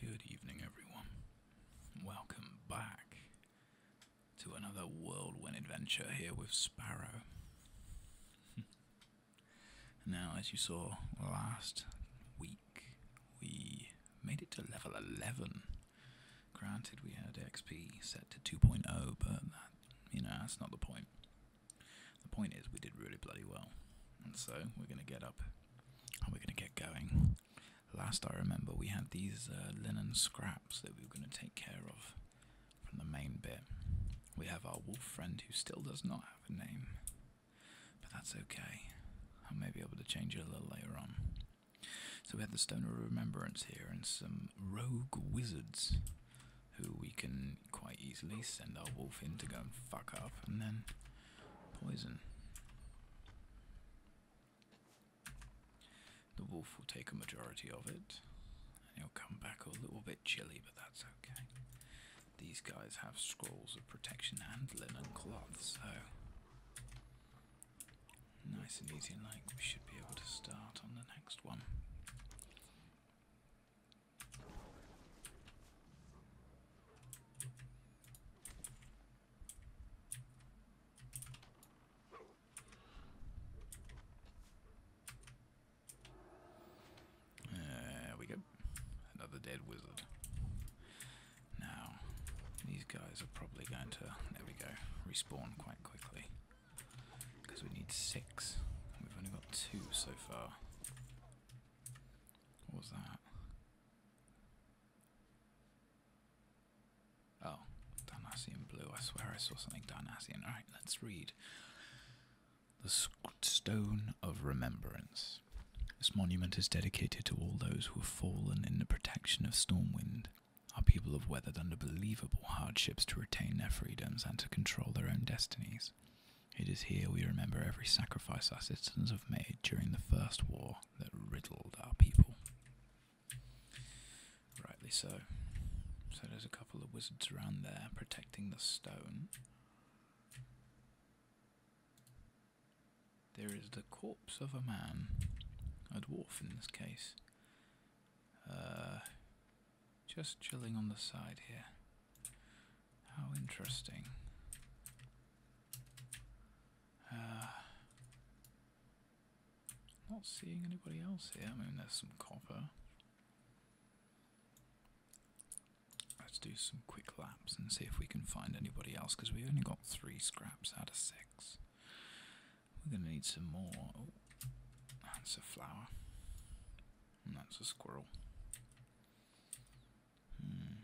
Good evening, everyone. Welcome back to another whirlwind adventure here with Sparrow. now, as you saw last week, we made it to level 11. Granted, we had XP set to 2.0, but you know, that's not the point. The point is, we did really bloody well, and so we're gonna get up and we're gonna get going. Last I remember, we had these uh, linen scraps that we were gonna take care of from the main bit. We have our wolf friend who still does not have a name, but that's okay. I may be able to change it a little later on. So we have the Stone of Remembrance here and some rogue wizards who we can quite easily. Send our wolf in to go and fuck up, and then poison. The wolf will take a majority of it, and he'll come back a little bit chilly, but that's okay. These guys have scrolls of protection and linen cloth, so nice and easy. Like we should be able to start on the next one. There we go. Another dead wizard. Now, these guys are probably going to, there we go, respawn quite quickly. Because we need six. We've only got two so far. What was that? Oh, Darnassian blue. I swear I saw something Darnassian. Alright, let's read. The Stone of Remembrance. This monument is dedicated to all those who have fallen in the protection of Stormwind. Our people have weathered unbelievable hardships to retain their freedoms and to control their own destinies. It is here we remember every sacrifice our citizens have made during the first war that riddled our people. Rightly so. So there's a couple of wizards around there protecting the stone. There is the corpse of a man, a dwarf in this case, uh, just chilling on the side here. How interesting. Uh, not seeing anybody else here. I mean, there's some copper. Let's do some quick laps and see if we can find anybody else because we have only got three scraps out of six. We're going to need some more. Oh, that's a flower. And that's a squirrel. Hmm.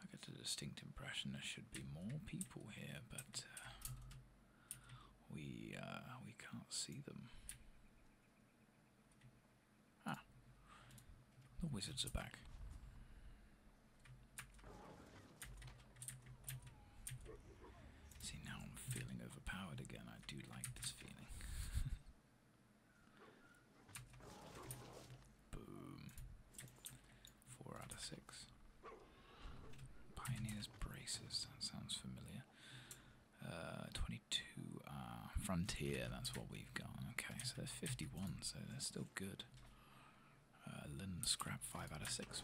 I get a distinct impression there should be more people here, but uh, we uh, we can't see them. Ah, the wizards are back. See now I'm feeling overpowered again. I do like this feeling. Boom. Four out of six. Pioneer's braces, that sounds familiar. Uh, 22 uh, Frontier, that's what we've got. Okay, so they're 51, so they're still good. Uh, Lynn scrap 5 out of 6.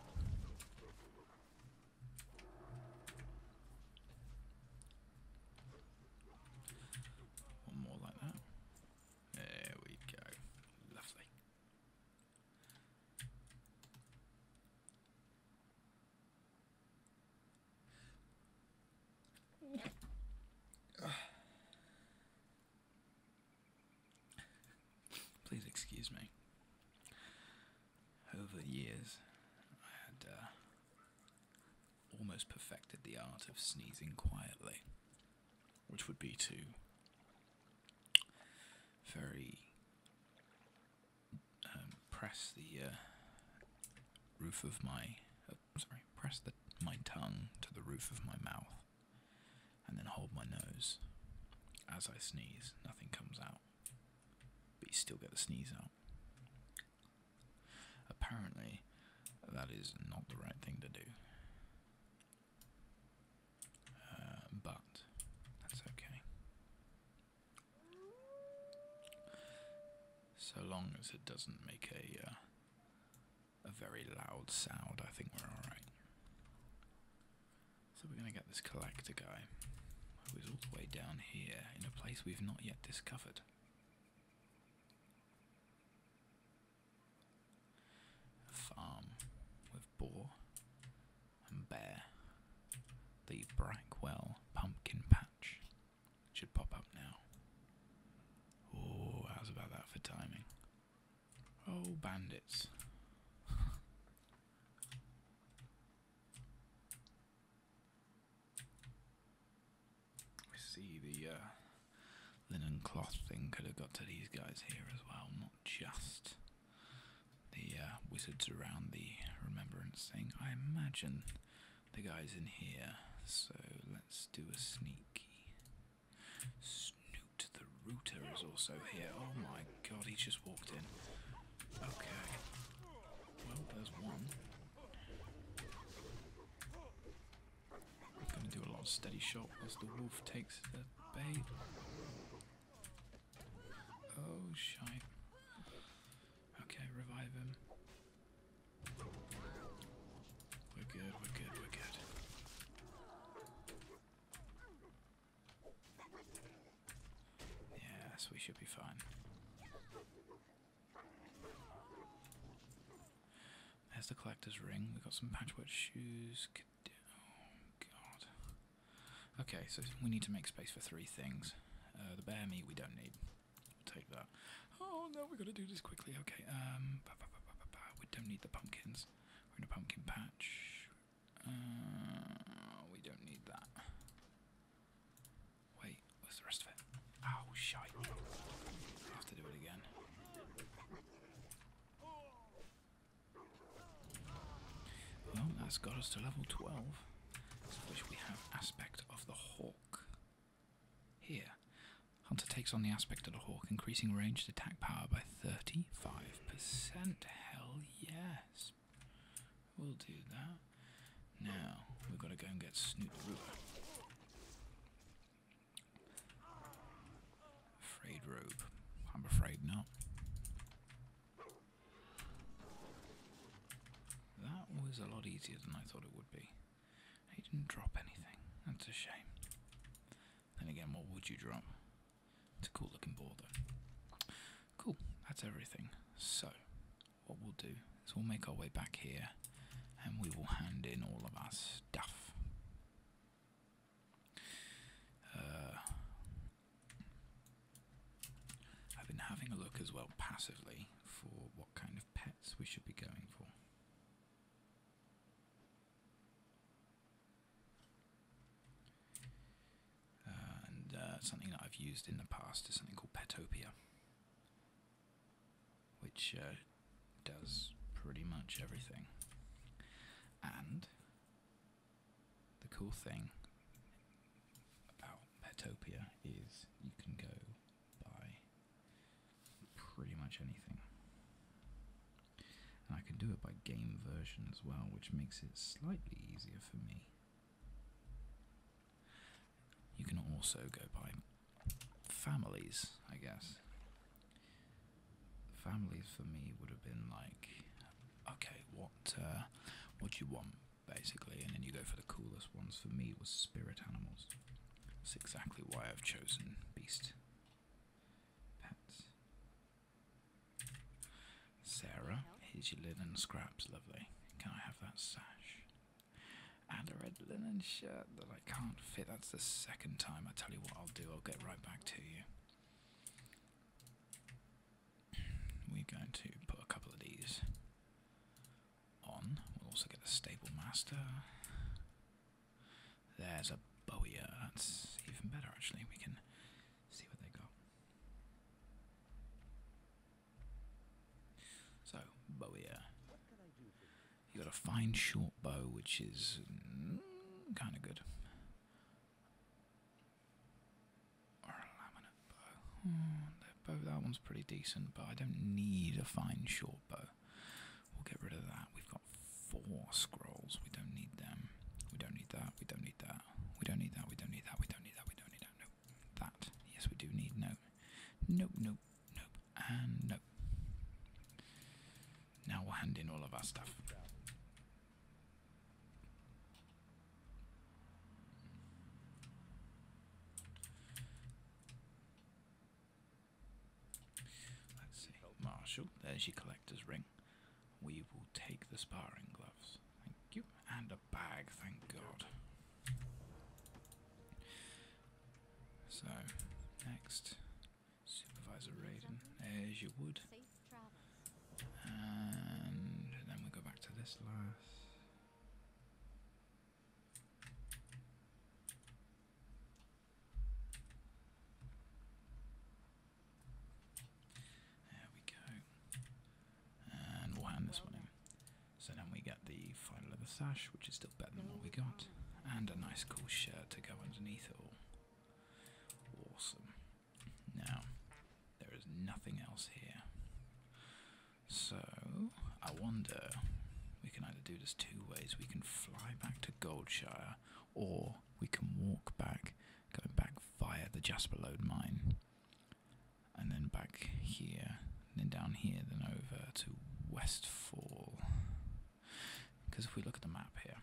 One more like that. There we go. Lovely. Please excuse me. Over the years, I had uh, almost perfected the art of sneezing quietly, which would be to very um, press the uh, roof of my uh, sorry press my tongue to the roof of my mouth and then hold my nose as I sneeze. Nothing comes out, but you still get the sneeze out. Apparently, that is not the right thing to do. Uh, but that's okay. So long as it doesn't make a uh, a very loud sound, I think we're all right. So we're going to get this collector guy, who is all the way down here in a place we've not yet discovered. Farm um, with boar and bear. The Brackwell pumpkin patch should pop up now. Oh, how's about that for timing? Oh, bandits. I see the uh, linen cloth thing could have got to these guys here as well, not just the uh, wizards around the remembrance thing. I imagine the guys in here, so let's do a sneaky. Snoot the rooter is also here. Oh my god, he just walked in. Okay. Well, there's one. We're Gonna do a lot of steady shot as the wolf takes the bait. Oh shite. Okay, revive him. We're good, we're good, we're good. Yes, we should be fine. There's the collector's ring. We've got some patchwork shoes. Oh god. Okay, so we need to make space for three things. Uh, the bear meat we don't need. take that. Oh no, we've got to do this quickly. Okay, um, we don't need the pumpkins. We're in a pumpkin patch. Uh, we don't need that. Wait, where's the rest of it? Oh, shite. I have to do it again. Well, that's got us to level 12, which we have Aspect of the Hawk. Here, Hunter takes on the aspect of the Hawk, increasing ranged attack power by 35%. Hell yes. We'll do that. Now, we've got to go and get Snoop Afraid robe. I'm afraid not. That was a lot easier than I thought it would be. He didn't drop anything. That's a shame. Then again, what would you drop? It's a cool looking board though. Cool, that's everything. So, what we'll do is we'll make our way back here and we will hand in all of our stuff. Uh, I've been having a look as well passively for what kind of pets we should be going for. Uh, and uh, something that I've used in the past is something called Petopia which uh, does pretty much everything. And the cool thing about Petopia is you can go by pretty much anything. And I can do it by game version as well, which makes it slightly easier for me. You can also go by families, I guess. Families for me would have been like, okay, what uh, what do you want, basically, and then you go for the coolest ones. For me, was spirit animals. That's exactly why I've chosen beast. Pets. Sarah, here's your linen scraps, lovely. Can I have that sash? and a red linen shirt that I can't fit. That's the second time. I tell you what I'll do. I'll get right back to you. We're going to put a couple of these on. We'll also get a stable master. There's a bowyer. That's even better actually. We can see what they got. So, bow here. You got a fine short bow, which is mm, kind of good. Or a laminate bow. Mm, that bow, that one's pretty decent, but I don't need a fine short bow. We'll get rid of that. We've got four scrolls. We don't need them. We don't need that. We don't need that. We don't need that. We don't need that. We don't need that. We don't need that. Nope. That. Yes, we do need. No. Nope. Nope. Nope. And nope. Now we'll hand in all of our stuff. Let's see. Marshall, there's your collector's ring. We will take the sparring gloves. Thank you. And a bag, thank God. So, next, Supervisor Raiden, as you would. And then we go back to this last. There we go. And we'll hand this one in. So then we get the final of the sash, which is still better than what we got, and a nice cool shirt to go underneath it all. Awesome. Now, there is nothing else here. So, I wonder, we can either do this two ways. We can fly back to Goldshire, or we can walk back, going back via the Jasper Lode mine and then back here, then down here, then over to Westfall. Because if we look at the map here,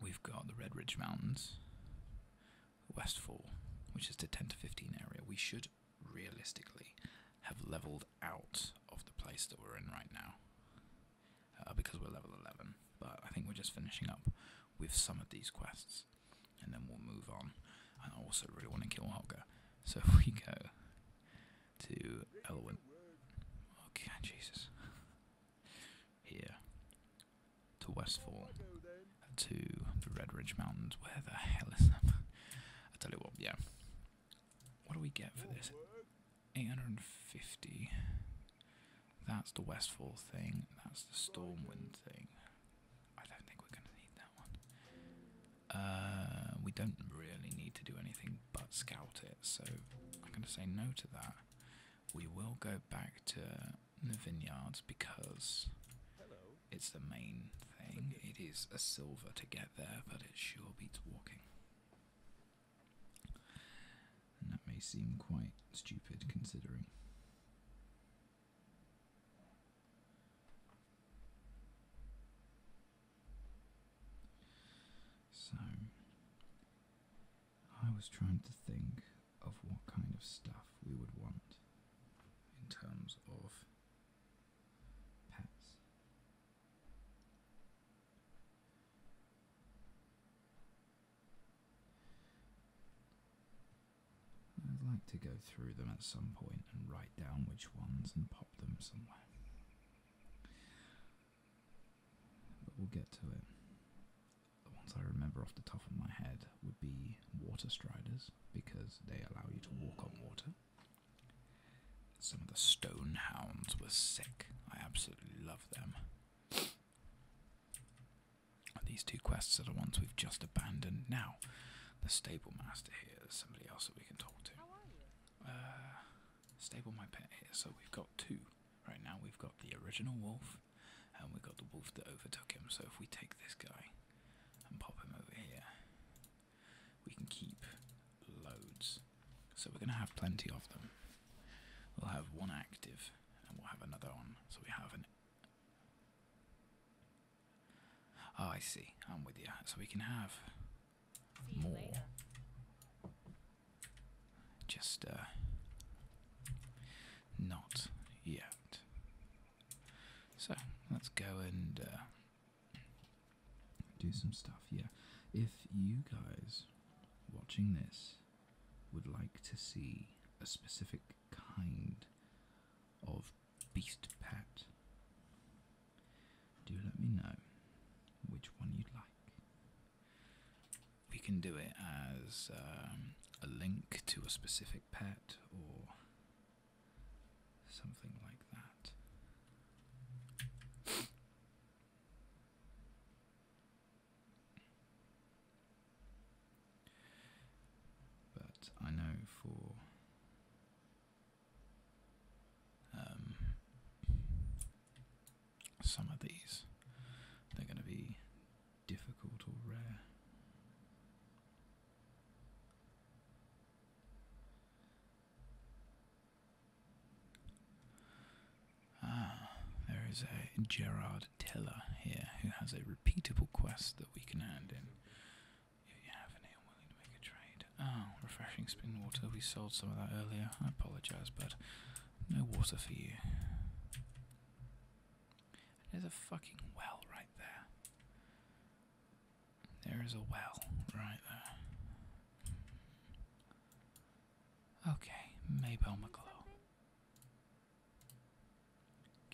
we've got the Red Ridge Mountains, Westfall, which is the 10 to 15 area. We should realistically have leveled out of the place that we're in right now uh, because we're level 11. But I think we're just finishing up with some of these quests and then we'll move on. I also really want to kill Helga. So if we go to Elwyn, okay, Jesus, here to Westfall, to the Red Ridge Mountains. Where the hell is that? I tell you what, yeah. What do we get for this? 850. That's the Westfall thing. That's the Stormwind thing. I don't think we're gonna need that one. Uh, we don't really need to do anything but scout it, so I'm gonna say no to that. We will go back to the vineyards because it's the main thing. It is a silver to get there, but it sure beats walking. And that may seem quite stupid considering. So, I was trying to think of what kind of stuff we would want in terms of pets. I'd like to go through them at some point and write down which ones and pop them somewhere. But we'll get to it. The ones I remember off the top of my head would be water striders, because they allow you to walk on water. Some of the stonehounds were sick. I absolutely love them. These two quests are the ones we've just abandoned now the stable master here. There's somebody else that we can talk to. How are you? Uh, stable my pet here. So we've got two right now. We've got the original wolf, and we've got the wolf that overtook him. So if we take this guy and pop him over here, we can keep loads. So we're going to have plenty of them. We'll have one active, and we'll have another on. So we have an Oh, I see. I'm with you. So we can have more. Just uh, not yet. So let's go and uh, do some stuff. Yeah, if you guys watching this would like to see a specific kind of Beast pet. Do let me know which one you'd like. We can do it as um, a link to a specific pet or something like that. But I know for um, some of these they're going to be difficult or rare. Ah, there is a Gerard Teller here who has a repeatable quest that we can hand in. If you have any, I'm willing to make a trade. Oh, refreshing spring water. We sold some of that earlier. I apologise, but no water for you. There's a fucking well right there. There is a well right there. Okay, Maybell McGlow.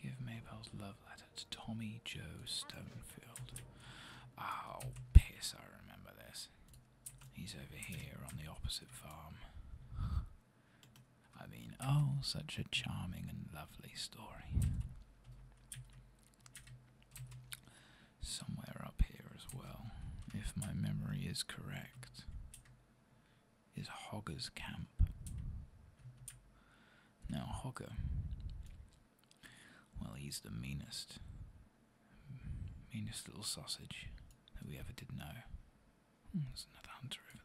Give Maybell's love letter. It's Tommy Joe Stonefield. Oh, piss, I remember this. He's over here on the opposite farm. I mean, oh, such a charming and lovely story. Somewhere up here as well, if my memory is correct, is Hogger's Camp. Now, Hogger well, he's the meanest, meanest little sausage that we ever did know. Hmm, there's another hunter over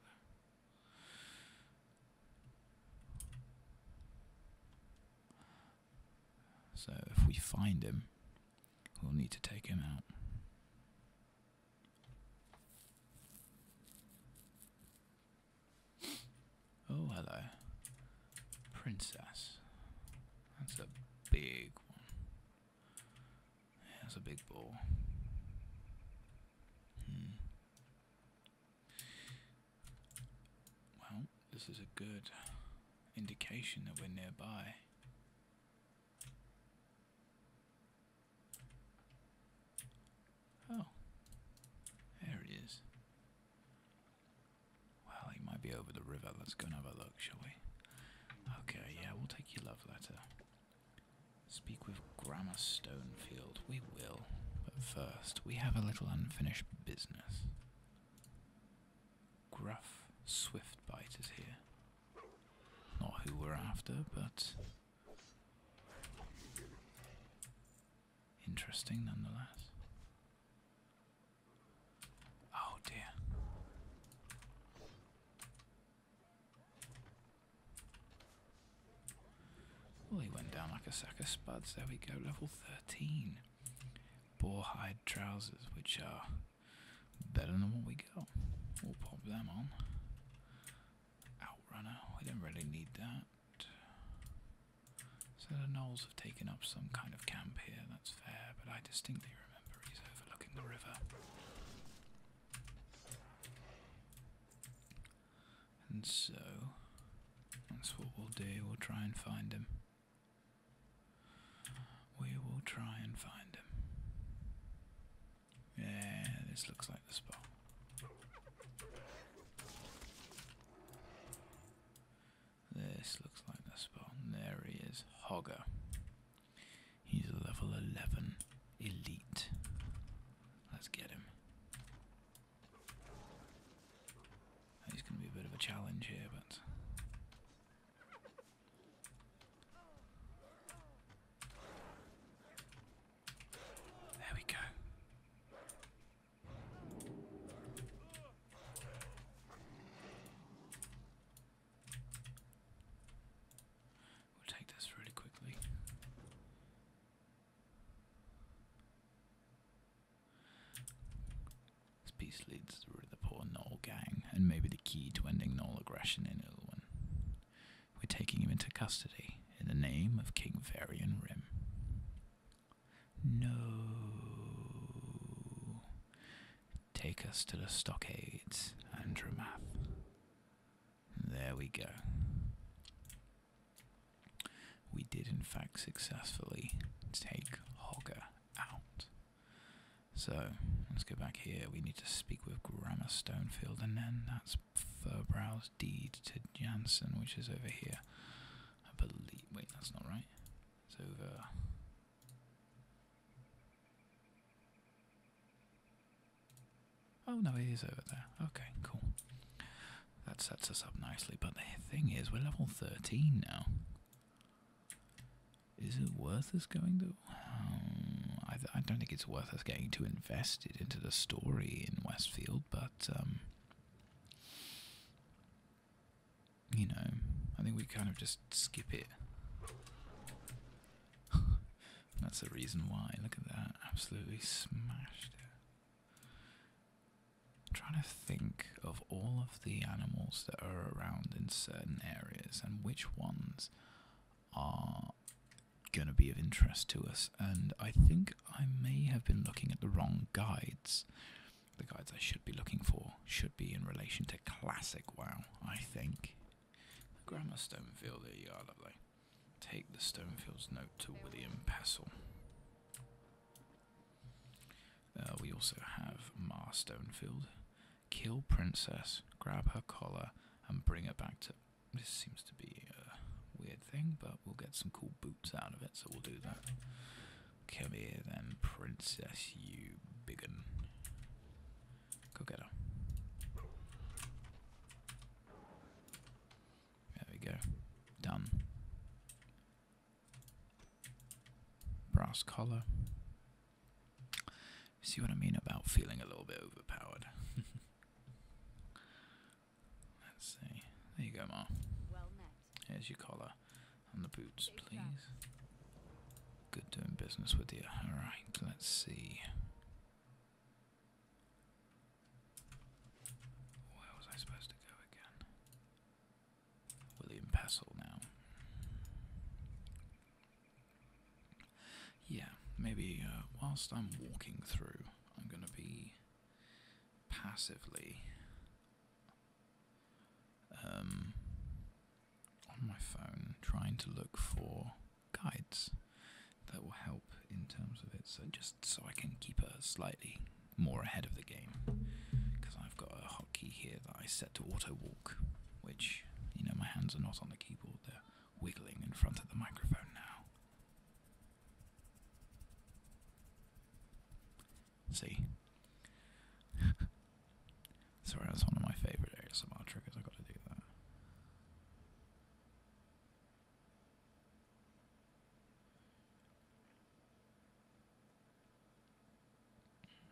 there. So if we find him, we'll need to take him out. Oh, hello. Princess. That's a big one. Yeah, that's a big ball. Hmm. Well, this is a good indication that we're nearby. Oh, there it is. Well, he might be over the river. Let's go and have a look, shall we? Okay, yeah, we'll take your love letter. Speak with Grammar Stonefield. We will. But first, we have a little unfinished business. Gruff Swiftbite is here. Not who we're after, but. Interesting nonetheless. Oh dear. Well, he went down like a sack of spuds. There we go, level 13. Boarhide trousers, which are better than what we got. We'll pop them on. Outrunner, we don't really need that. So the Knolls have taken up some kind of camp here, that's fair, but I distinctly remember he's overlooking the river. And so, that's what we'll do, we'll try and find him. We will try and find him. Yeah, this looks like the spot. This looks like the spot. There he is, Hogger. He's level 11 elite. Let's get him. He's going to be a bit of a challenge here, but. There we go. We'll take this really quickly. This piece leads to the poor Knoll gang, and maybe the key to ending Knoll aggression in Ilwin. We're taking him into custody in the name of King Varian Rim. No. Take us to the stockades, Andromath. There we go. We did, in fact, successfully take Hogger out. So, let's go back here. We need to speak with Grammer Stonefield, and then that's Furbrow's deed to Jansen, which is over here. I believe. Wait, that's not right. It's over. Oh no, it is over there. Okay, cool. That sets us up nicely, but the thing is, we're level 13 now. Is it worth us going to... Um, I, don't think it's worth us getting too invested into the story in Westfield, but... Um, you know, I think we kind of just skip it. That's the reason why. Look at that. Absolutely smashed trying to think of all of the animals that are around in certain areas and which ones are going to be of interest to us. And I think I may have been looking at the wrong guides the guides I should be looking for should be in relation to classic WoW, I think. Grammar Stonefield, you are, lovely. Take the Stonefield's note to William Pessel. Uh, we also have Ma Stonefield. Kill Princess, grab her collar, and bring her back to. This seems to be a weird thing, but we'll get some cool boots out of it, so we'll do that. Come here then, princess, you biggin. Go get her. There we go. Done. Brass collar. See what I mean about feeling a little bit overpowered? Let's see. There you go, Ma. Well met. Here's your collar. And the boots, please. Good doing business with you. Alright, let's see. Where was I supposed to go again? William Passel now. Yeah, maybe uh, whilst I'm walking through, I'm going to be passively um, on my phone trying to look for guides that will help in terms of it. So just so I can keep a slightly more ahead of the game, because I've got a hotkey here that I set to auto walk, which you know my hands are not on the keyboard; they're wiggling in front of the microphone now. See? Sorry, that's one of my favorite ASMR triggers. I gotta do that.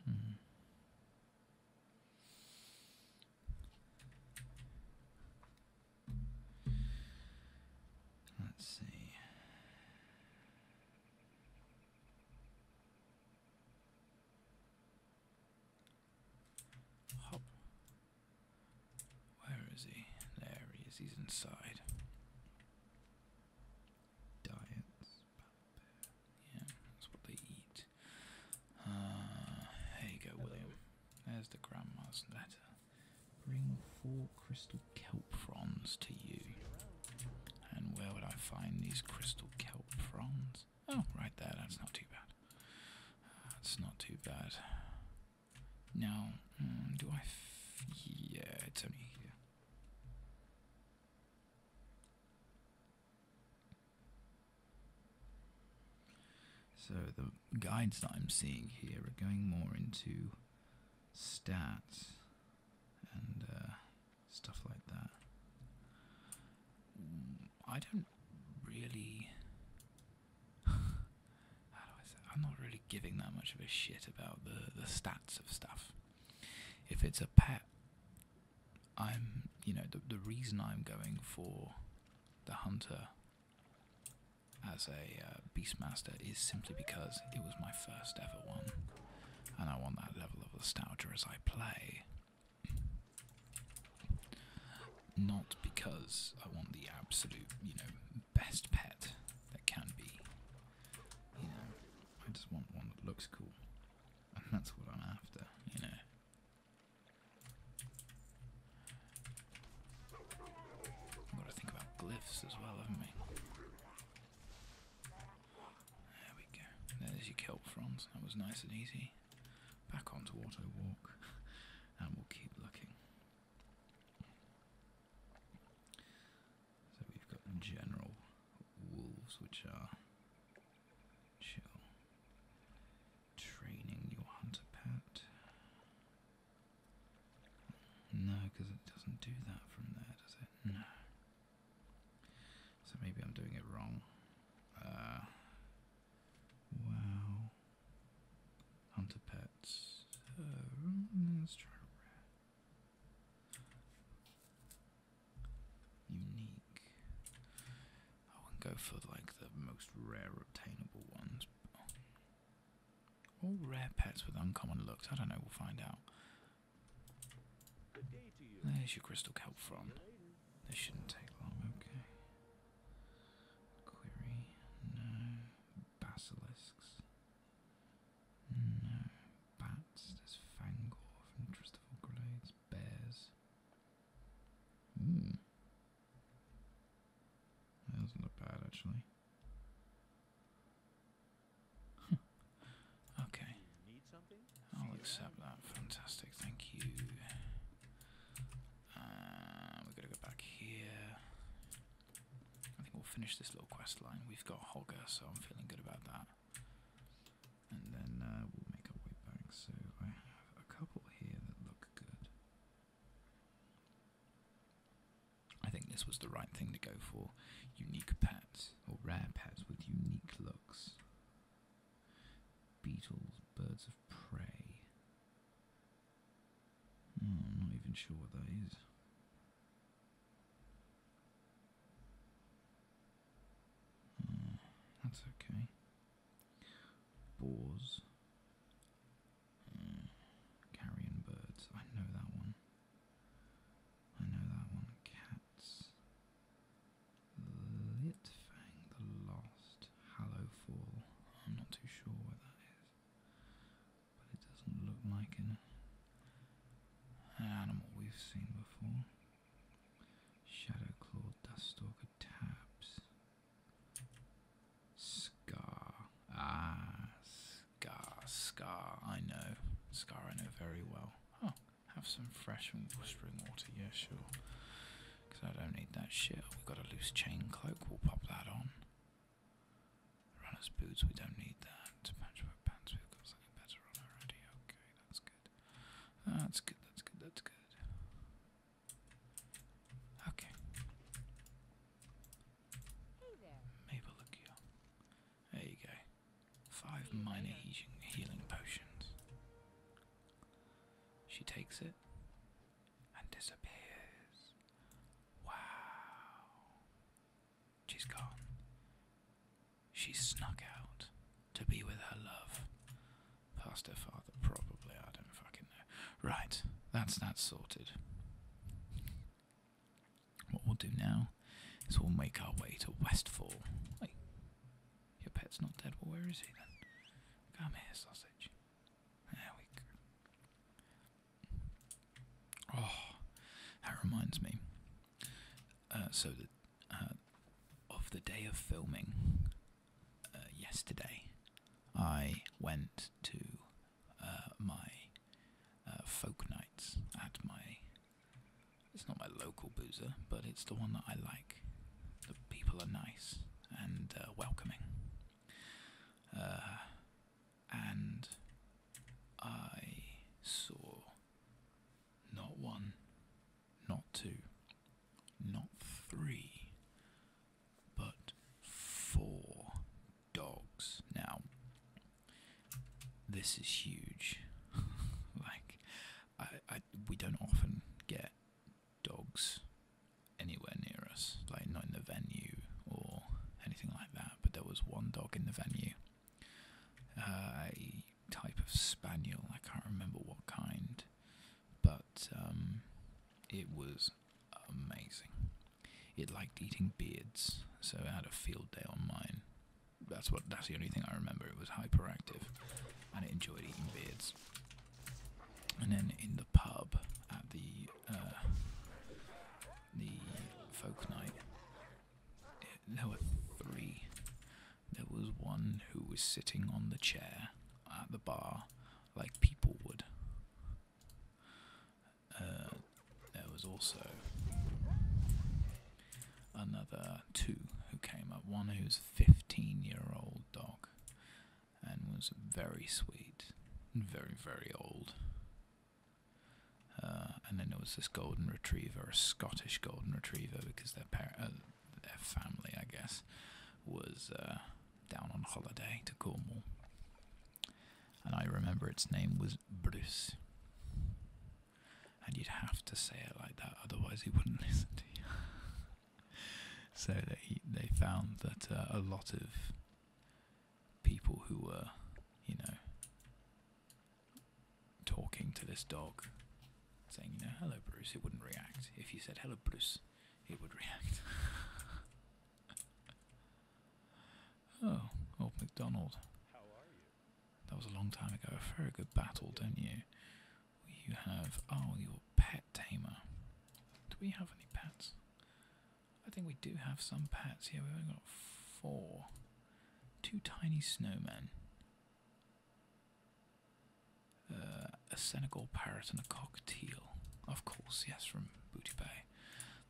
Hmm. Let's see. Hop. Where is he? There he is, he's inside. Diets. Yeah, that's what they eat. Uh, there you go, William. There's the grandma's letter. Bring four crystal kelp fronds to you. And where would I find these crystal kelp fronds? Oh, right there, that's not too bad. That's not too bad. Now, mm, do I. F yeah, it's only here. So the guides that I'm seeing here are going more into stats and uh, stuff like that. Mm, I don't really. How do I say? I'm not really giving that much of a shit about the the stats of stuff. If it's a pet, I'm you know the the reason I'm going for the hunter as a uh, beastmaster is simply because it was my first ever one and I want that level of nostalgia as I play. Not because I want the absolute, you know, best pet that can be. You know, I just want one that looks cool. And that's what I'm after, you know. We've got to think about glyphs as well, haven't we? There we go. There's your kelp fronds. That was nice and easy. Back onto auto walk, and we'll keep looking. So we've got general wolves, which are chill. Training your hunter pet. No, because it doesn't do that from there, does it? No. So maybe I'm doing it wrong. Uh, wow. Hunter pets. Uh, let's try rare. Unique. I wouldn't go for like the most rare obtainable ones. All rare pets with uncommon looks. I don't know. We'll find out. There's your crystal kelp from? This shouldn't take long, okay. Query, no. Basilisks, no. Bats, there's Fangor from Tristival Grenades, bears. Hmm. That doesn't look bad actually. Hmm. okay. I'll accept that. Fantastic. Thank you. Uh, we're gonna go back here. I think we'll finish this little quest line. We've got Hogger, so I'm feeling good about that. And then uh, we'll make our way back. So I have a couple here that look good. I think this was the right thing to go for. Unique pets or rare pets with unique looks. Beetles, birds of prey. Hmm, I'm not even sure what that is. Hmm, that's okay. Boars. Hmm, carrion birds. I know that one. I know that one. Cats. Litfang the Lost. Hallowfall. I'm not too sure what that is. But it doesn't look like an animal we've seen before. Shadowclaw Duststalker Tabs. Scar. Ah, Scar. Scar. I know. Scar I know very well. Huh. Have some fresh and whispering water, yeah, sure. Because I don't need that shit. We've got a loose chain cloak, we'll pop that on. Runner's boots, we don't need that. Patchwork pants, we've got something better on already. Okay, that's good. That's good, that's good, that's good. Okay. Hey there. Mabel, look there you go. Five minor healing potions. She takes it and disappears. Wow. She's gone. She snuck out to be with her love. Past her father, probably. I don't fucking know. Right, that's that sorted. What we'll do now is we'll make our way to Westfall. your pet's not dead. Well, where is he then? Come here, sausage. There we go. Oh, that reminds me. Uh, so uh, of the day of filming uh, yesterday, I went to my folk nights at my it's not my local boozer, but it's the one that I like. The people are nice and uh, welcoming. Uh, and I saw not one, not two, not three, but four dogs. Now, this is huge. like, I, I, we don't often get dogs anywhere near us, like not in the venue or anything like that. But there was one dog in the venue, uh, a type of spaniel. I can't remember what kind, but um, it was amazing. It liked eating beards, so it had a field day on mine that's what that's the only thing I remember. It was hyperactive, and it enjoyed eating beards. And then in the pub at the uh, the folk night, there were three. There was one who was sitting on the chair at the bar, like people would. Uh, there was also another two who came up. One who was a 15 year old dog and was very sweet, very, very old. Uh, and then there was this golden retriever, a Scottish golden retriever, because their par uh, their family, I guess, was uh, down on holiday to Cornwall. And I remember its name was Bruce and you'd have to say it like that, otherwise he wouldn't listen to you. so they they found that uh, a lot of people who were, you know, talking to this dog, saying, you know, hello Bruce, it wouldn't react. If you said hello Bruce, it would react. oh, old MacDonald. How are you? That was a long time ago. A very good battle, don't you? You have oh your pet tamer. Do we have any pets? I think we do have some pets here. We've only got four. Two tiny snowmen. Uh, a Senegal parrot and a cockatiel. Of course, yes, from Booty Bay.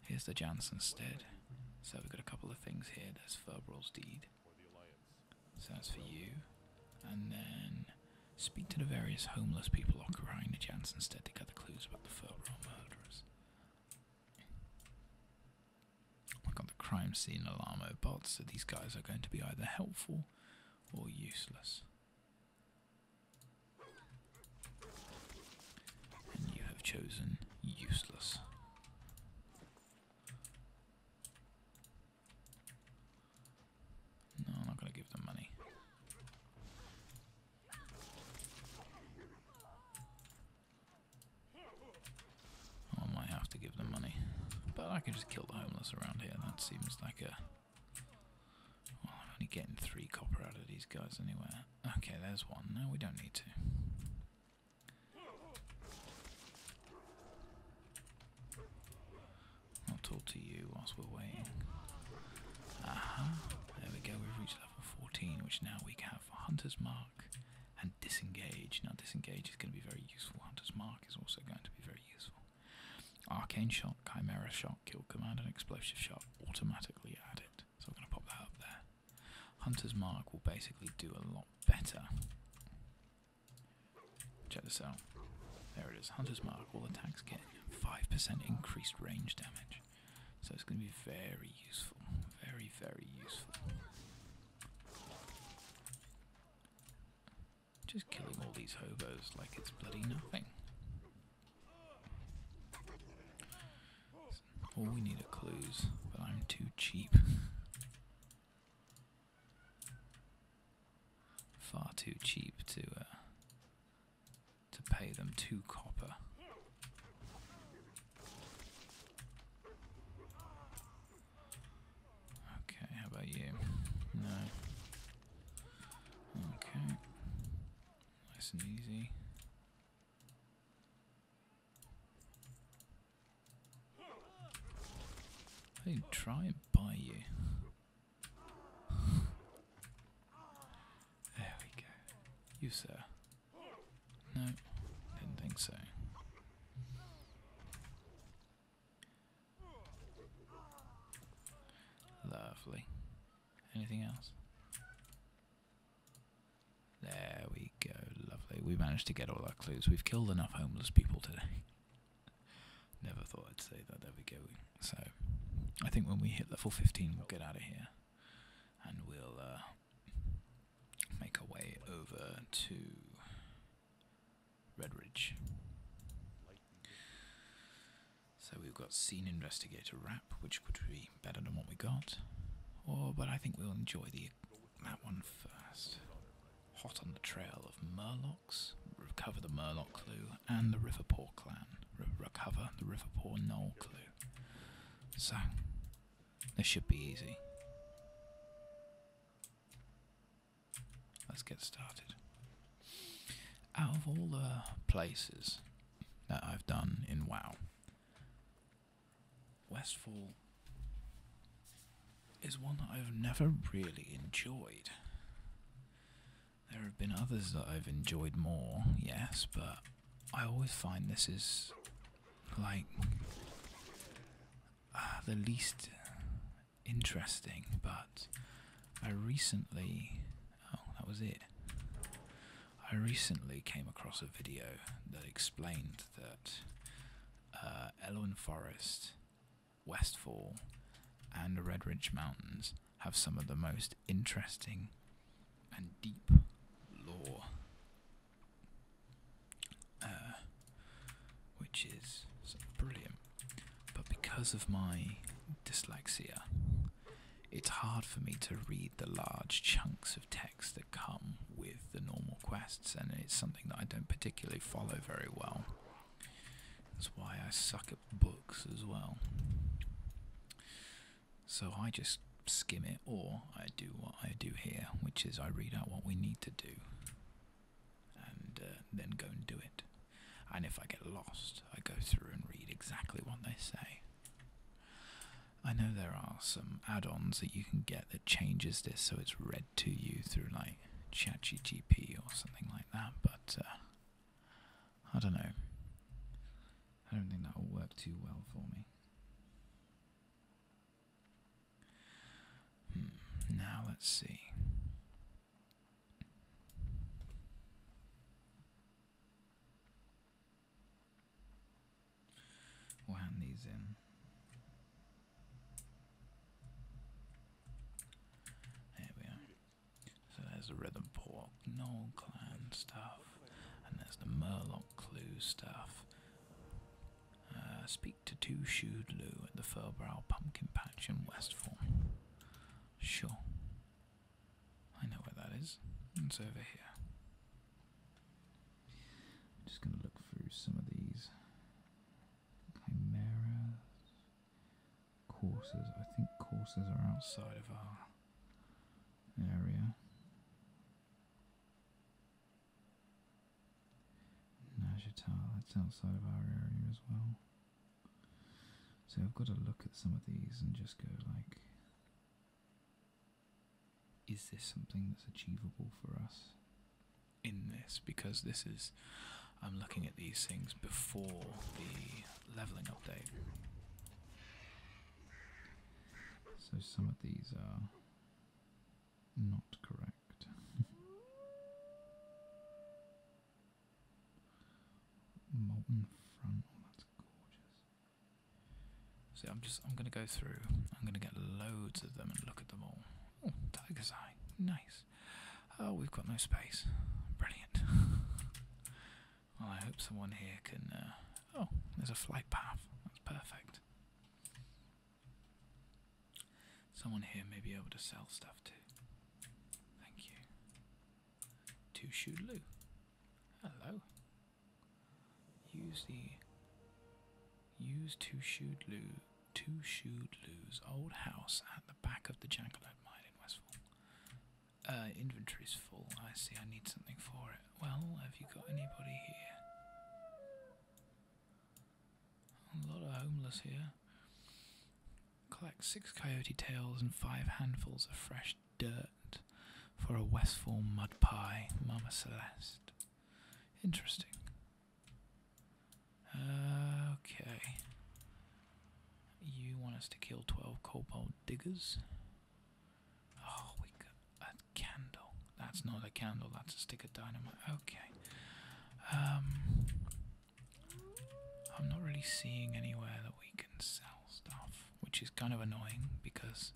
Here's the Jansenstead. So we've got a couple of things here. There's Furbrol's deed. So that's for you. And then speak to the various homeless people occupying the chance instead to gather clues about the Furbrow murderers. I got the crime scene alarmo bots, so these guys are going to be either helpful or useless. And you have chosen useless. No, I'm not going to give them money. Oh, I might have to give them money. But I can just kill the homeless around here. That seems like a... Well, I'm only getting three copper out of these guys anyway. Okay, there's one. No, we don't need to. I'll talk to you whilst we're waiting. Aha, there we go, we've reached level 14, which now we have Hunter's Mark and Disengage. Now, Disengage is going to be very useful, Hunter's Mark is also going to be very useful. Arcane Shot, Chimera Shot, Kill Command, and Explosive Shot automatically add it. So I'm going to pop that up there. Hunter's Mark will basically do a lot better Check this out. There it is. Hunter's Mark. All attacks get 5% increased range damage. So it's going to be very useful. Very, very useful. Just killing all these hobos like it's bloody nothing. All we need are clues, but I'm too cheap. Far too cheap to uh, to pay them two copper. Okay, how about you? No. Okay. Nice and easy. They try and buy you. there we go. You, sir. No, didn't think so. Lovely. Anything else? There we go. Lovely. We managed to get all clues. We've killed enough homeless people today. Never thought I'd say that. There we go. So, I think when we hit level 15, we'll get out of here. And we'll uh, make our way over to Red Ridge. So we've got Scene Investigator Wrap, which could be better than what we got. Or, but I think we'll enjoy the that one first. Hot on the trail of Murlocs, recover the Murloc clue, and the Riverport clan, recover the Riverport Knoll clue. So, this should be easy. Let's get started. Out of all the places that I've done in WoW, Westfall is one that I've never really enjoyed. There have been others that I've enjoyed more, yes, but I always find this is like uh, the least interesting. But I recently, oh, that was it. I recently came across a video that explained that uh, Elwyn Forest, Westfall, and the Red Ridge Mountains have some of the most interesting and deep lore, uh, which is brilliant. But because of my dyslexia, it's hard for me to read the large chunks of text that come with the normal quests, and it's something that I don't particularly follow very well. That's why I suck at books as well. So I just skim it, or I do what I do here, which is I read out what we need to do and uh, then go and do it. And if I get lost, I go through and read exactly what they say. I know there are some add-ons that you can get that changes this so it's read to you through like GP or something like that, but uh, I don't know. I don't think that will work too well for me. Hmm, now let's see. We'll hand these in. There we are. So there's the Rhythm Pork no Clan stuff, and there's the Murloc Clue stuff. Uh, speak to Two Shoed Lou at the Furbrow Pumpkin Patch in Westform. Sure. I know where that is. It's over here. I'm just going to look through some of these. Chimeras. Coursers. I think courses are outside of our area. Najatar, that's outside of our area as well. So I've got to look at some of these and just go like, is this something that's achievable for us? in this because this is I'm looking at these things before the leveling update. So some of these are not correct. Molten front, oh, that's gorgeous. See, I'm just I'm gonna go through. I'm gonna get loads of them and look at them all. Oh, tiger's eye. Nice. Oh, we've got no space. Brilliant. well, I hope someone here can. Uh, oh, there's a flight path. That's perfect. Someone here may be able to sell stuff too. Thank you. Two Shoe Lou. Hello. Use the Use to shoot loo to shoot lose old house at the back of the Jackalope mine in Westfall. Uh, Inventory is full. I see. I need something for it. Well, have you got anybody here? A lot of homeless here. Collect six coyote tails and five handfuls of fresh dirt for a Westfall mud pie, Mama Celeste. Interesting. Uh, okay. You want us to kill 12 cobalt diggers? Oh, we got a candle. That's not a candle, that's a stick of dynamite. Okay. Um, I'm not really seeing anywhere that we can sell stuff, which is kind of annoying because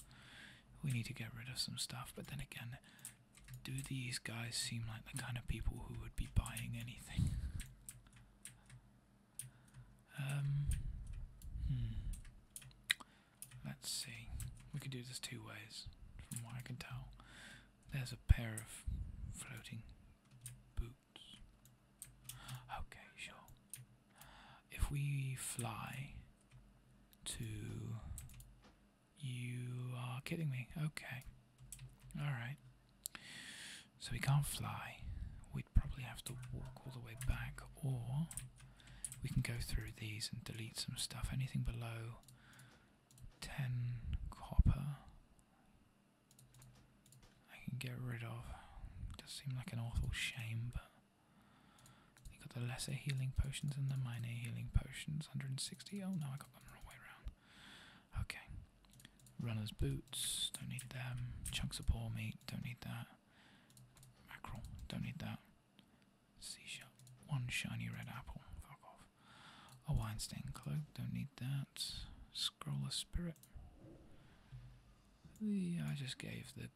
we need to get rid of some stuff, but then again, do these guys seem like the kind of people who would be buying anything? um, hmm. Let's see. We could do this two ways, from what I can tell. There's a pair of floating boots. Okay, sure. If we fly to you are kidding me. Okay. Alright. So we can't fly. We'd probably have to walk all the way back, or we can go through these and delete some stuff. Anything below 10 copper, I can get rid of. Does seem like an awful shame, but they got the lesser healing potions and the minor healing potions. 160. Oh no, I got them the way around. Okay. Runner's boots, don't need them. Chunks of boar meat, don't need that. Mackerel, don't need that. Seashell, one shiny red apple, fuck off. A wine stain cloak, don't need that. Scroll of spirit. I just gave the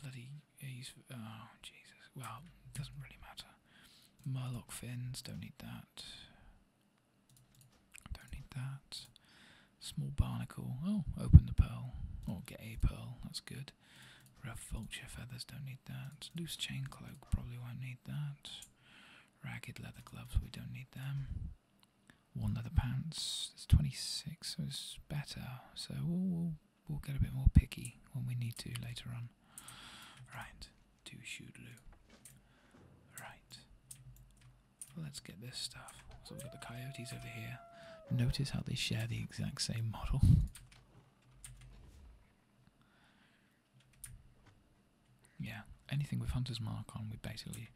bloody. Ease, oh, Jesus. Well, doesn't really matter. Murloc fins, don't need that. Don't need that. Small barnacle. Oh, open the pearl. oh, get a pearl. That's good. Rough vulture feathers. Don't need that. Loose chain cloak. Probably won't need that. Ragged leather gloves. We don't need them. One leather pants. It's 26, so it's better. So we'll, we'll, we'll get a bit more picky when we need to later on. Right to Shudlu. Right. Let's get this stuff. So we've got the coyotes over here. Notice how they share the exact same model. yeah, anything with Hunter's Mark on, we basically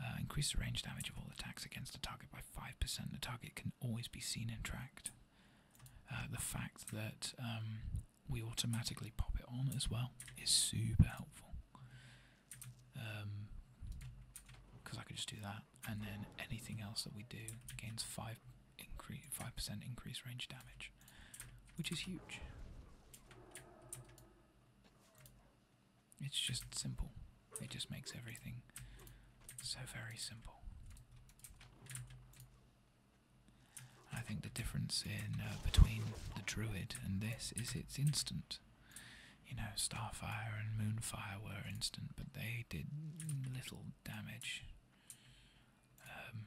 uh, increase the range damage of all attacks against the target by 5%. The target can always be seen and tracked. Uh, the fact that um, we automatically pop it on as well is super helpful. because um, I could just do that, and then anything else that we do gains five increase five percent increased range damage, which is huge. It's just simple. It just makes everything so very simple. I think the difference in uh, between the Druid and this is it's instant. You know, Starfire and Moonfire were instant, but they did little damage, um,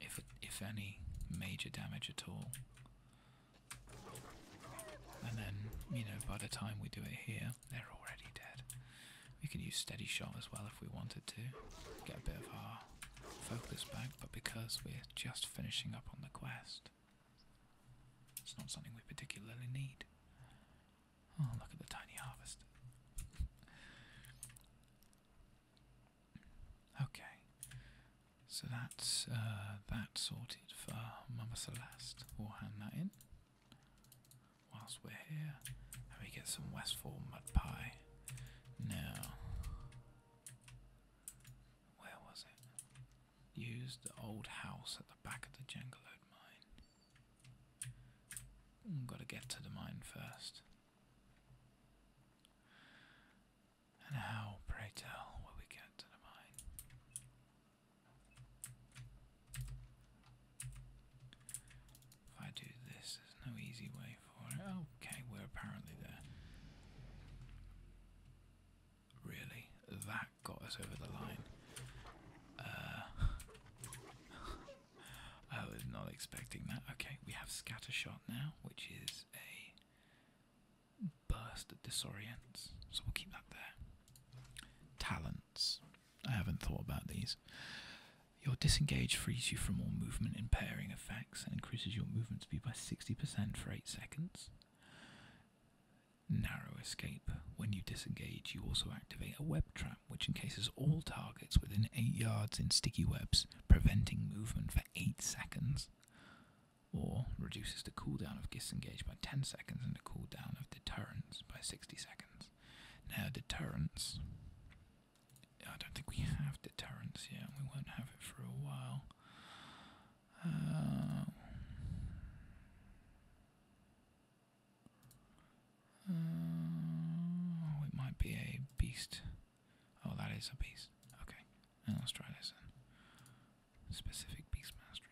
if if any major damage at all. And then, you know, by the time we do it here, they're already dead. We can use steady shot as well if we wanted to. Get a bit of our focus back, but because we're just finishing up on the quest, it's not something we particularly need. Oh, look at the tiny harvest. okay, so that's uh, that sorted for Mama Celeste. We'll hand that in. Whilst we're here, and we get some Westfall mud pie. Now, where was it? Use the old house at the back of the jungle mine. Hmm, Got to get to the mine first. And how, pray tell, will we get to the mine? If I do this, there's no easy way for it. Okay, we're apparently there. Really? That got us over the line. Uh, I was not expecting that. Okay, we have Scattershot now, which is a burst that disorients. So we'll keep that there. Talents. I haven't thought about these. Your disengage frees you from all movement impairing effects and increases your movement speed by 60% for 8 seconds. Narrow escape. When you disengage, you also activate a web trap, which encases all targets within 8 yards in sticky webs, preventing movement for 8 seconds. Or reduces the cooldown of disengage by 10 seconds and the cooldown of deterrence by 60 seconds. Now, deterrence I don't think we have deterrence yet. We won't have it for a while. Uh, oh, it might be a beast. Oh, that is a beast. Okay, let's try this Specific beast mastery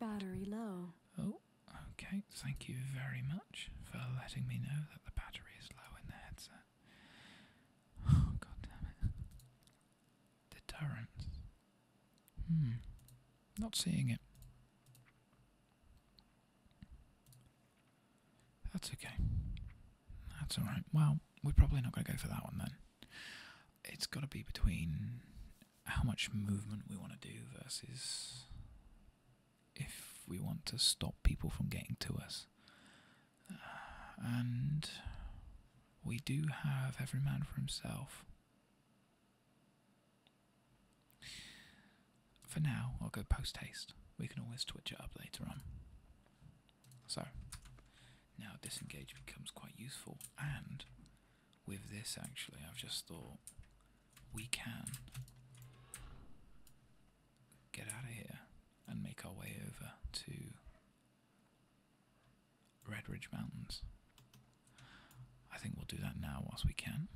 Battery low. Oh, okay. Thank you very much for letting me know that the battery is low in the headset. Oh god damn it. Deterrence. Hmm. Not seeing it. That's okay. That's alright. Well, we're probably not going to go for that one then. It's got to be between how much movement we want to do versus if we want to stop people from getting to us. and we do have every man for himself. For now, I'll go post haste. We can always twitch it up later on. So, now disengage becomes quite useful, and with this actually, I've just thought we can get out of here and make our way over to Red Ridge Mountains. I think we'll do that now whilst we can.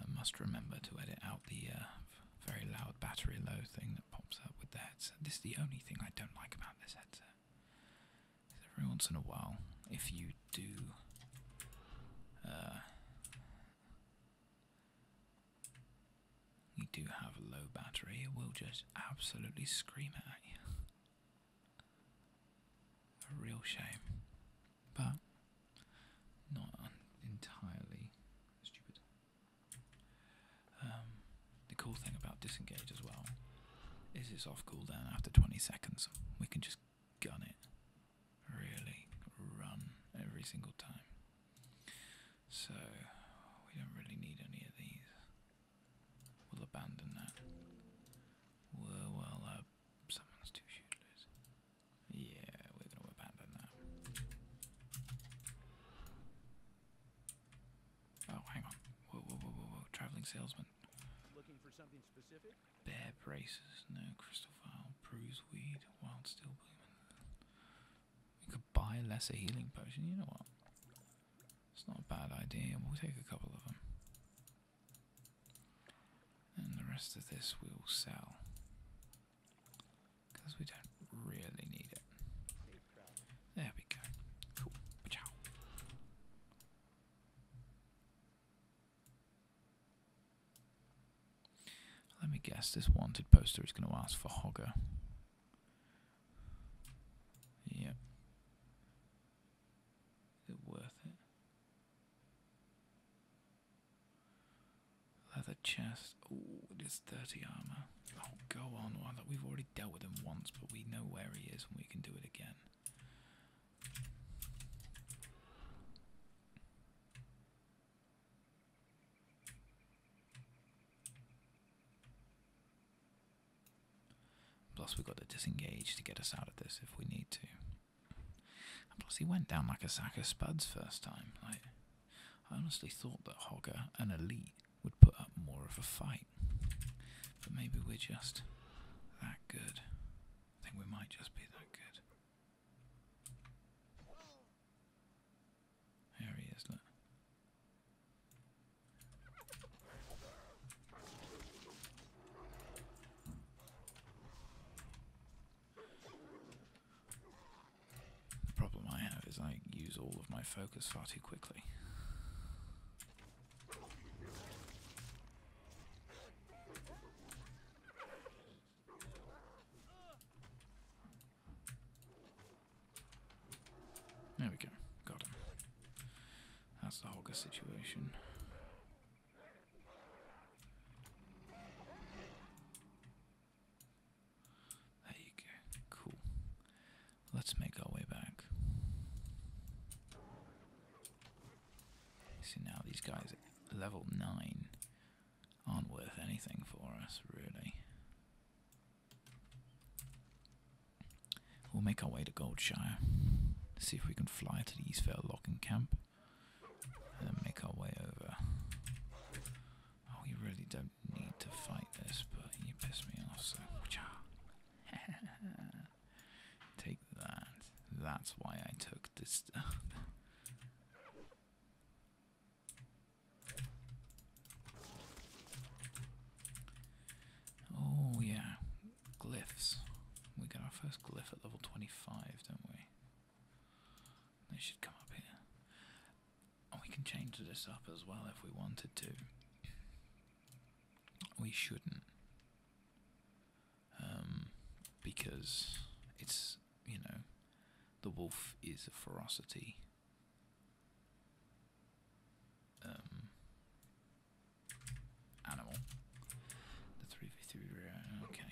I must remember to edit out the uh, very loud battery low thing that pops up with the headset. This is the only thing I don't like about this headset. Every once in a while, if you do uh, we do have a low battery, it will just absolutely scream at you. a real shame. But not entirely stupid. Um, the cool thing about disengage as well is it's off cooldown after 20 seconds. We can just gun it. Really run every single time. So we don't really need any of these. We'll abandon that. Well, well, uh, someone's too shootless. Yeah, we're gonna abandon that. Oh, hang on. whoa, whoa, whoa, whoa! Traveling salesman. Looking for something specific? Bear braces, no crystal vial, bruise weed, wild still blooming. We could buy a lesser healing potion, you know what? It's not a bad idea, we'll take a couple of them. And the rest of this we'll sell. Because we don't really need it. There we go. Cool. Ciao. Let me guess, this wanted poster is going to ask for Hogger. Yep. Is it worth it? Leather chest. Oh, it is dirty armor. Oh, go on. We've already dealt with him once, but we know where he is and we can do it again. Plus, we've got to disengage to get us out of this if we need to. And plus, he went down like a sack of spuds first time. Like, I honestly thought that Hogger, an elite, would put up more of a fight. But maybe we're just that good. I think we might just be that good. There he is, look. The problem I have is I use all of my focus far too quickly. There we go. Got him. That's the hogger situation. There you go. Cool. Let's make our way back. See now these guys level 9 aren't worth anything for us, really. We'll make our way to Goldshire, see if we can fly to the Eastvale Locking Camp, and then make our way over. Oh, you really don't need to fight this, but you piss me off, so... Take that. That's why I took this stuff. Oh yeah, glyphs. We get our first glyph at level 25, don't we? They should come up here. we can change this up as well if we wanted to. We shouldn't um, because it's you know the wolf is a ferocity. Um, animal. The three v three rare. Uh,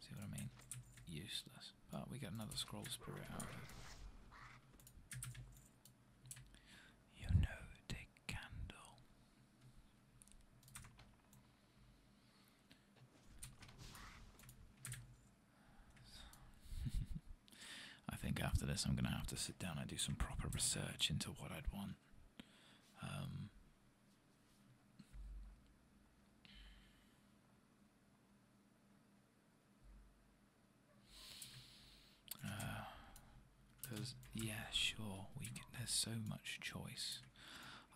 See what I mean? Useless. But we got another scroll spirit out You know, take candle. I think after this, I'm going to have to sit down and do some proper research into what I'd want. Um, uh, because, yeah, sure, we there's so much choice.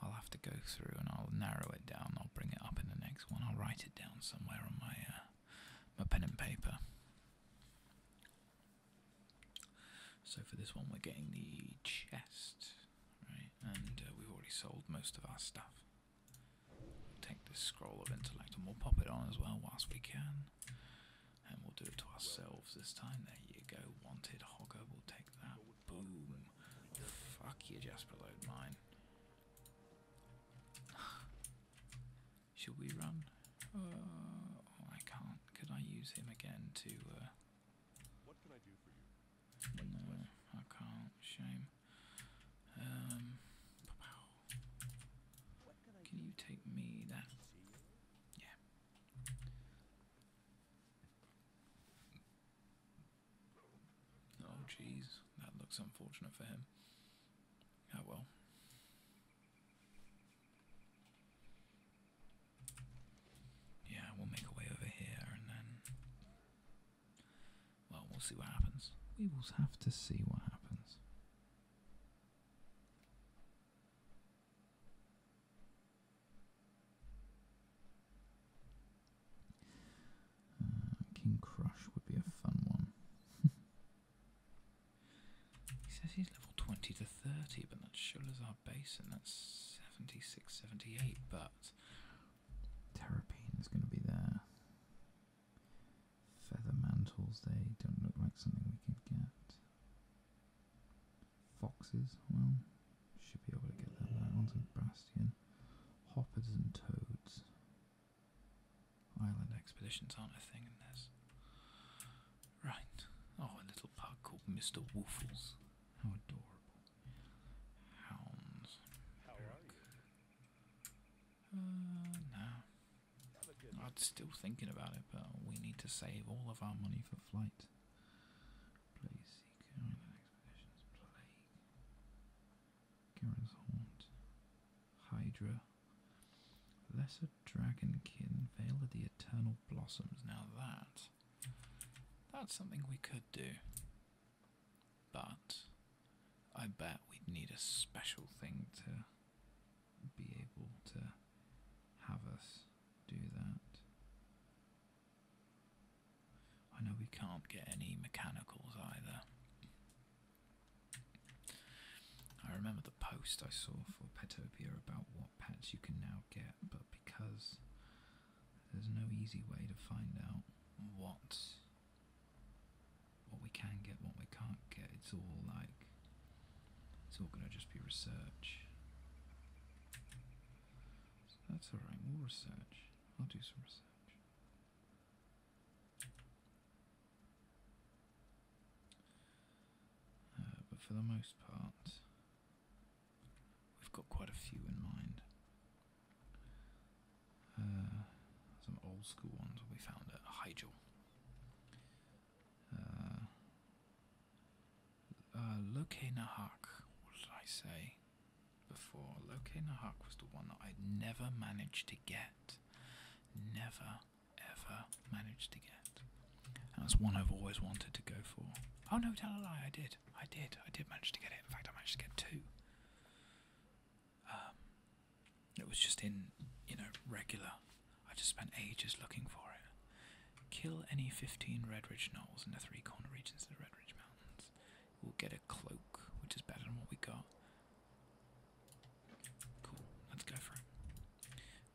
I'll have to go through and I'll narrow it down. I'll bring it up in the next one. I'll write it down somewhere on my, uh, my pen and paper. So for this one, we're getting the chest, right? And uh, we've already sold most of our stuff. take this scroll of intellect and we'll pop it on as well whilst we can. And we'll do it to ourselves this time. There you go. Wanted Hogger. We'll take that. Boom. Fuck you, Jasper. Load mine. Shall we run? Uh, oh, I can't. Could I use him again to? Uh, what can I do for you? No, I can't. Shame. Um, can you take me that? Yeah. Oh, jeez, that looks unfortunate for him. Oh well. Yeah, we'll make a way over here and then. Well, we'll see what happens. We will have to see what happens. Uh, King Crush would be a fun one. he says he's level 20 to 30, but that's Shula's our base, and that's 76, 78, but. Terrapine is going to be there. Feather mantles, they don't look like something we could get. Foxes, well, should be able to get that back onto the Bastion. Hoppers and toads. Island expeditions aren't a thing in this. Right. Oh, a little pug called Mr. Woofles. How adorable. Hounds. How Uh, no. I'm still thinking about it, but we need to save all of our money for flight. Play Seeker and Expeditions Plague. Garen's Haunt. Hydra. Lesser Dragonkin, Veil of the Eternal Blossoms. Now that, that's something we could do. But, I bet we'd need a special thing to be able to have us do that. I know we can't get any mechanicals either. I remember the post I saw for Petopia about what pets you can now get, but because there's no easy way to find out what what we can get, what we can't get, it's all like it's all going to just be research. that's alright, more research. I'll do some research. Uh, but for the most part, we've got quite a few in mind. Uh, some old school ones we found at Hyjal. Uh, uh, Loke Nahak, what did I say before? Loke Nahak was the one that I'd never managed to get. Never, ever managed to get. That's one I've always wanted to go for. Oh no, tell a lie, I did. I did. I did manage to get it. In fact, I managed to get two. Um, it was just in, you know, regular. I just spent ages looking for it. Kill any 15 Red Ridge Knolls in the three corner regions of the Red Ridge Mountains. We'll get a cloak, which is better than what we got. Cool, let's go for it.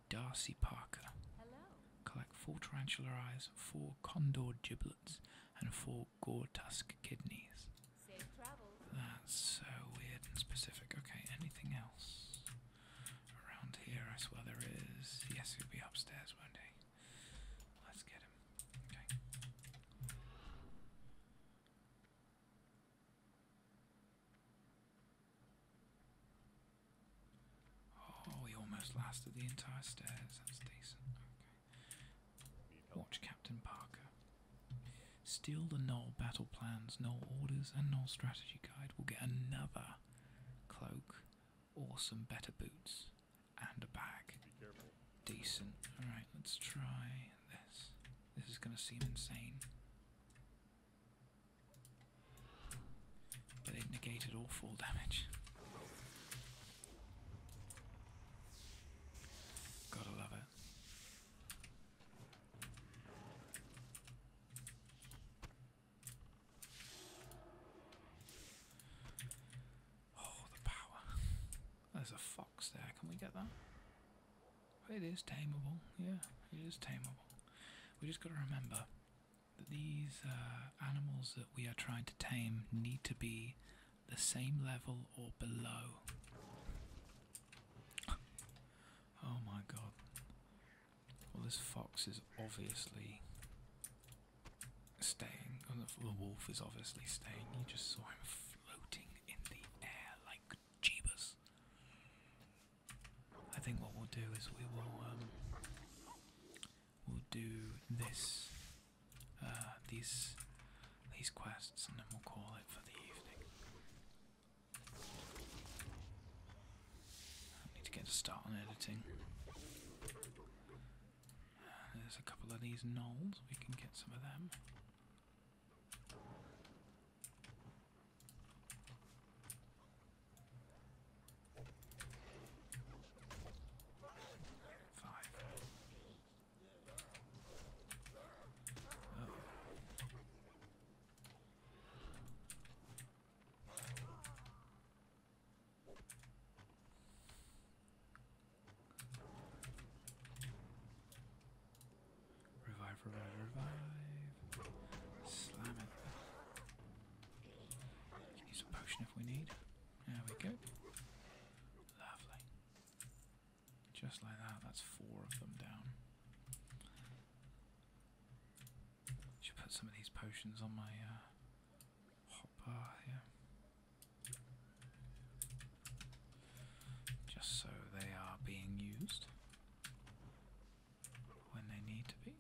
Darcy Parker. Hello. Collect four tarantula eyes, four condor giblets, and four gore tusk kidneys. Safe travels. That's so weird and specific. Okay, anything else? Around here, I swear there is. Yes, he'll be upstairs, won't he? Let's get him. Okay. Oh, we almost lasted the entire stairs. That's decent. Okay. Watch Captain Parker. Steal the Null battle plans, Null orders, and Null strategy guide. We'll get another cloak. Awesome, better boots and a bag. Decent. Alright, let's try this. This is going to seem insane. But it negated all fall damage. Gotta love it. Oh, the power. There's a fox there. Can we get that? Oh, it is tameable. Yeah, it is tameable. We just got to remember that these uh, animals that we are trying to tame need to be the same level or below. Oh my god. Well, this fox is obviously staying, the wolf is obviously staying. You just saw him floating in the air like Jeebus. I think what we'll do is we will um, we'll do this uh, these these quests, and then we'll call it for the evening. I need to get a start on editing. There's a couple of these knolls, we can get some of them. Five. Oh. Revive, revive, revive. Slam it. use a potion if we need. There we go. Lovely. Just like that, that's four of them down. Should put some of these potions on my uh, hot bar here. Just so they are being used when they need to be.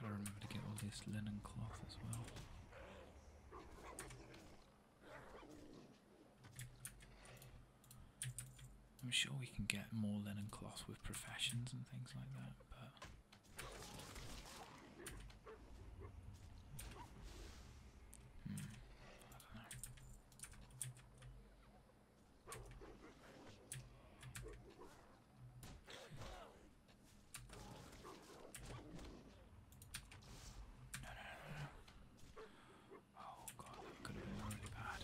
Gotta remember to get all this linen cloth as well. I'm sure we can get more linen cloth with professions and things like that, but. No, no, no, no, no. Oh god, that could have been really bad.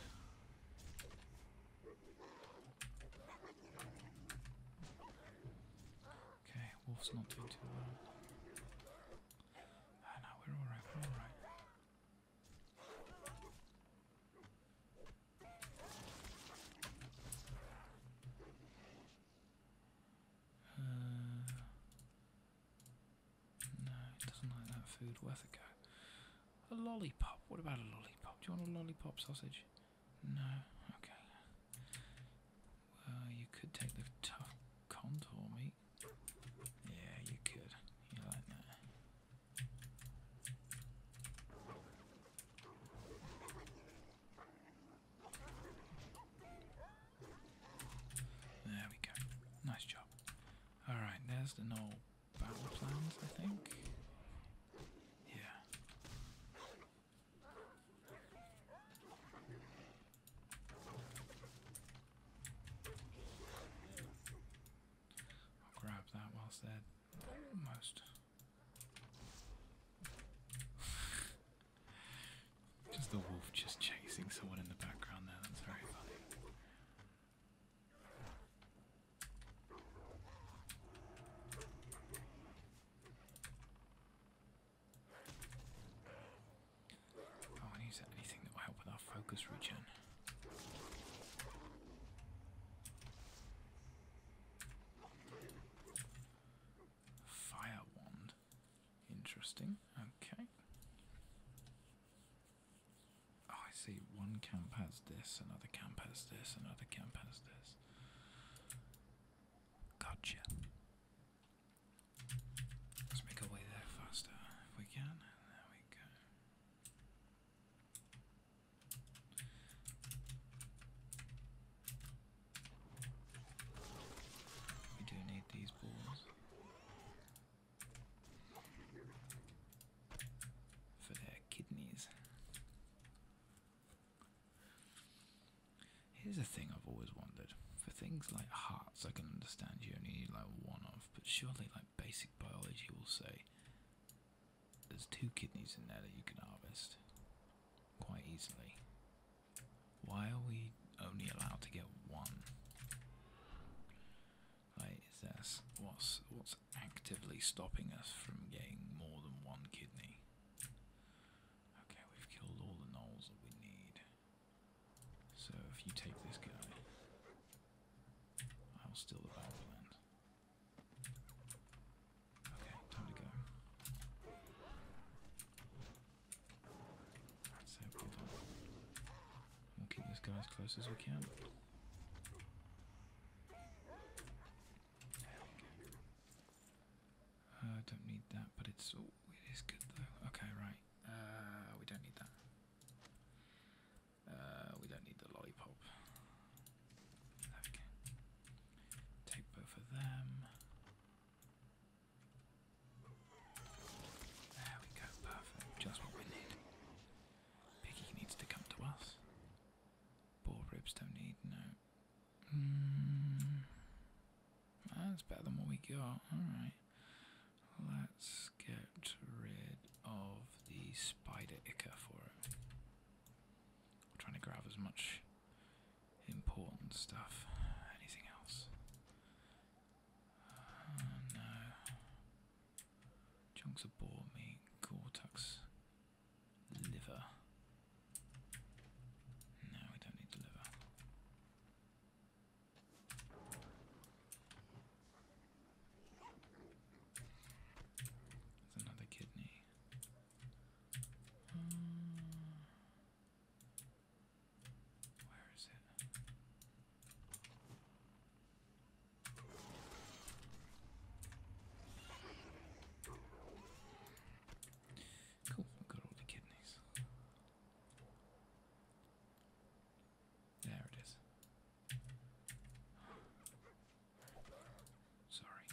Okay, wolf's not doing too well. Ah, no, we're alright, we're alright. Uh, no, it doesn't like that food. Worth a go. A lollipop. What about a lollipop? Do you want a lollipop sausage? No. Okay. Well, you could take the tough contour meat. Yeah, you could. You like that? There we go. Nice job. Alright, there's the no battle plans, I think. Yeah. I'll grab that whilst they're most. Just the wolf just chasing someone in the background there, that's very funny. Oh, I need anything that will help with our focus region. Fire wand. Interesting. Okay. Oh, I see. One camp has this, another camp has this, another camp has this. Gotcha. Let's make our way there faster if we can. There we go. We do need these balls for their kidneys. Here's a thing I've always wondered. For things like hearts, I can understand you only need like one of, but surely like basic biology will say there's two kidneys in there that you can harvest quite easily. Why are we only allowed to get one? Like, is this what's what's actively stopping us from getting more than one kidney? Okay, we've killed all the gnolls that we need. So if you take this guy, I'll steal the battleland. Okay, time to go. That's it, well done. keep these guys close as we can. I uh, don't need that, but it's oh, it is good though. Okay, right. Uh, we don't need that. Uh, we don't need the lollipop. Take both of them. There we go, perfect. Just what we need. Piggy needs to come to us. Boar ribs don't need no. Hmm. Ah, that's better than what we got. Alright. Let's get rid of the spider ichor for it. We're trying to grab as much important stuff. Anything else? Chunks of boar meat, cortex, liver. No, we don't need the liver. There's another kidney. Where is it? Cool, got all the kidneys. There it is. Sorry.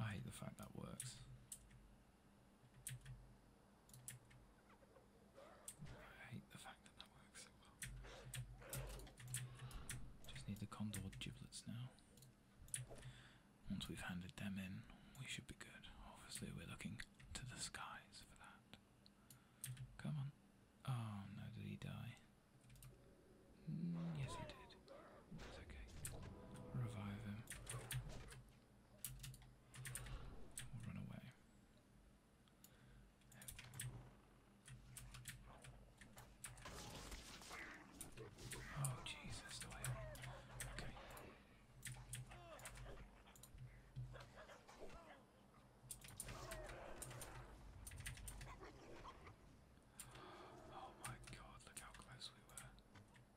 I hate the fact that works. I hate the fact that that works so well. Just need the condor giblets now. Once we've handed them in, we should be good. Obviously, we're looking to the skies for that. Come on. Oh no, did he die? Mm, yes, he did. It's okay. Revive him. run away. Oh Jesus, do okay. Oh my god, look how close we were.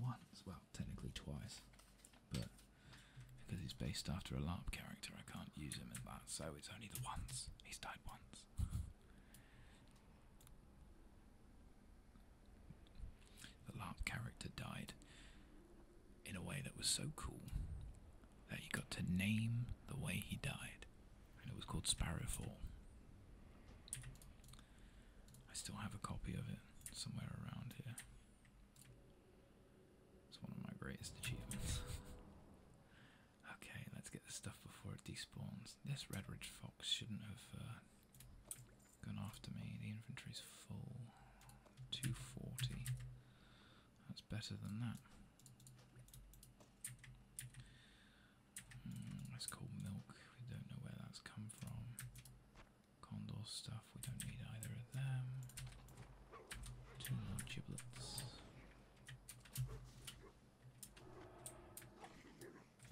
once, well, technically twice, but because he's based after a LARP character, I can't use him in that, so it's only the once. He's died once. the LARP character died in a way that was so cool that he got to name the way he died, and it was called Sparrowfall. I still have a copy of it somewhere around here. It's one of my greatest achievements. okay, let's get this stuff before it despawns. This Red Ridge Fox shouldn't have uh, gone after me. The inventory's full. 240. That's better than that that's mm, called milk. We don't know where that's come from. Condor stuff. We don't need either of them. Two more giblets.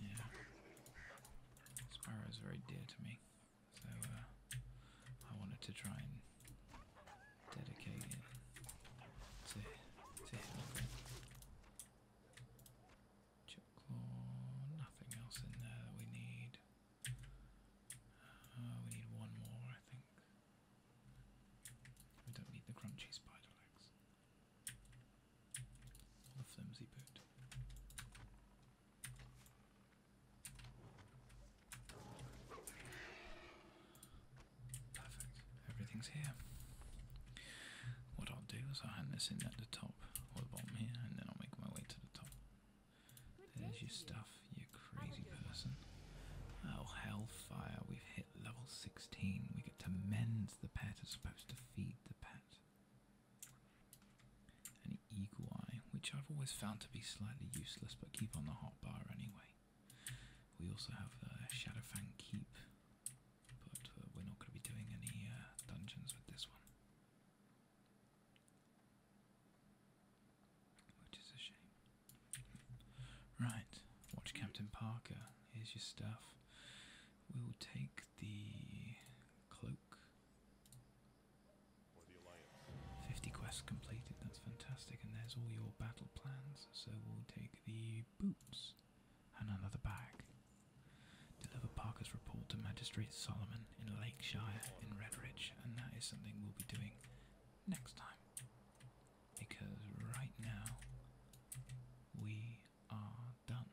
Yeah. Sparrows are very dear to me, so uh, I wanted to try and dedicate it to, to him. Chipclaw, nothing else in there that we need. Uh, we need one more, I think. We don't need the crunchy spider legs. Or the flimsy boot. Perfect. Everything's here. What I'll do is I'll hand this in at the top or the bottom here, and then I'll make my way to the top. There's your stuff, you crazy person. Oh, hellfire, we've hit level 16. We get to mend the pet, it's supposed to feed the pet. An eagle eye, which I've always found to be slightly useless, but keep on the hot bar anyway. We also have a uh, Shadowfang Keep, but uh, we're not going to be doing any uh, dungeons with this one. Which is a shame. Right, watch Captain Parker. Here's your stuff. We'll take the cloak. 50 quests completed, that's fantastic. And there's all your battle plans. So we'll take the boots and another bag. Deliver Parker's report to Magistrate Solomon in Lakeshire in Redridge, and that is something we'll be doing next time. Because right now we are done.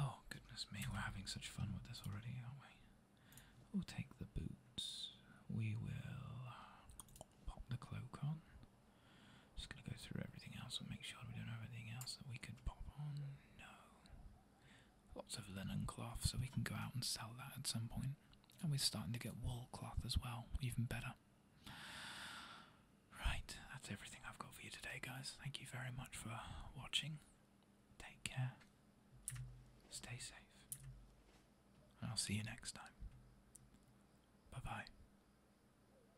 Oh, goodness me, we're having such fun with this already, aren't we? We'll take the boots. We will pop the cloak on. Just gonna go through everything else and make sure we don't have anything else that we could pop on. No. Lots of linen cloth, so we can go out and sell that at some point. And we're starting to get wool cloth as well, even better. Right, that's everything I've got for you today, guys. Thank you very much for watching. Take care. Stay safe. I'll see you next time. Bye bye.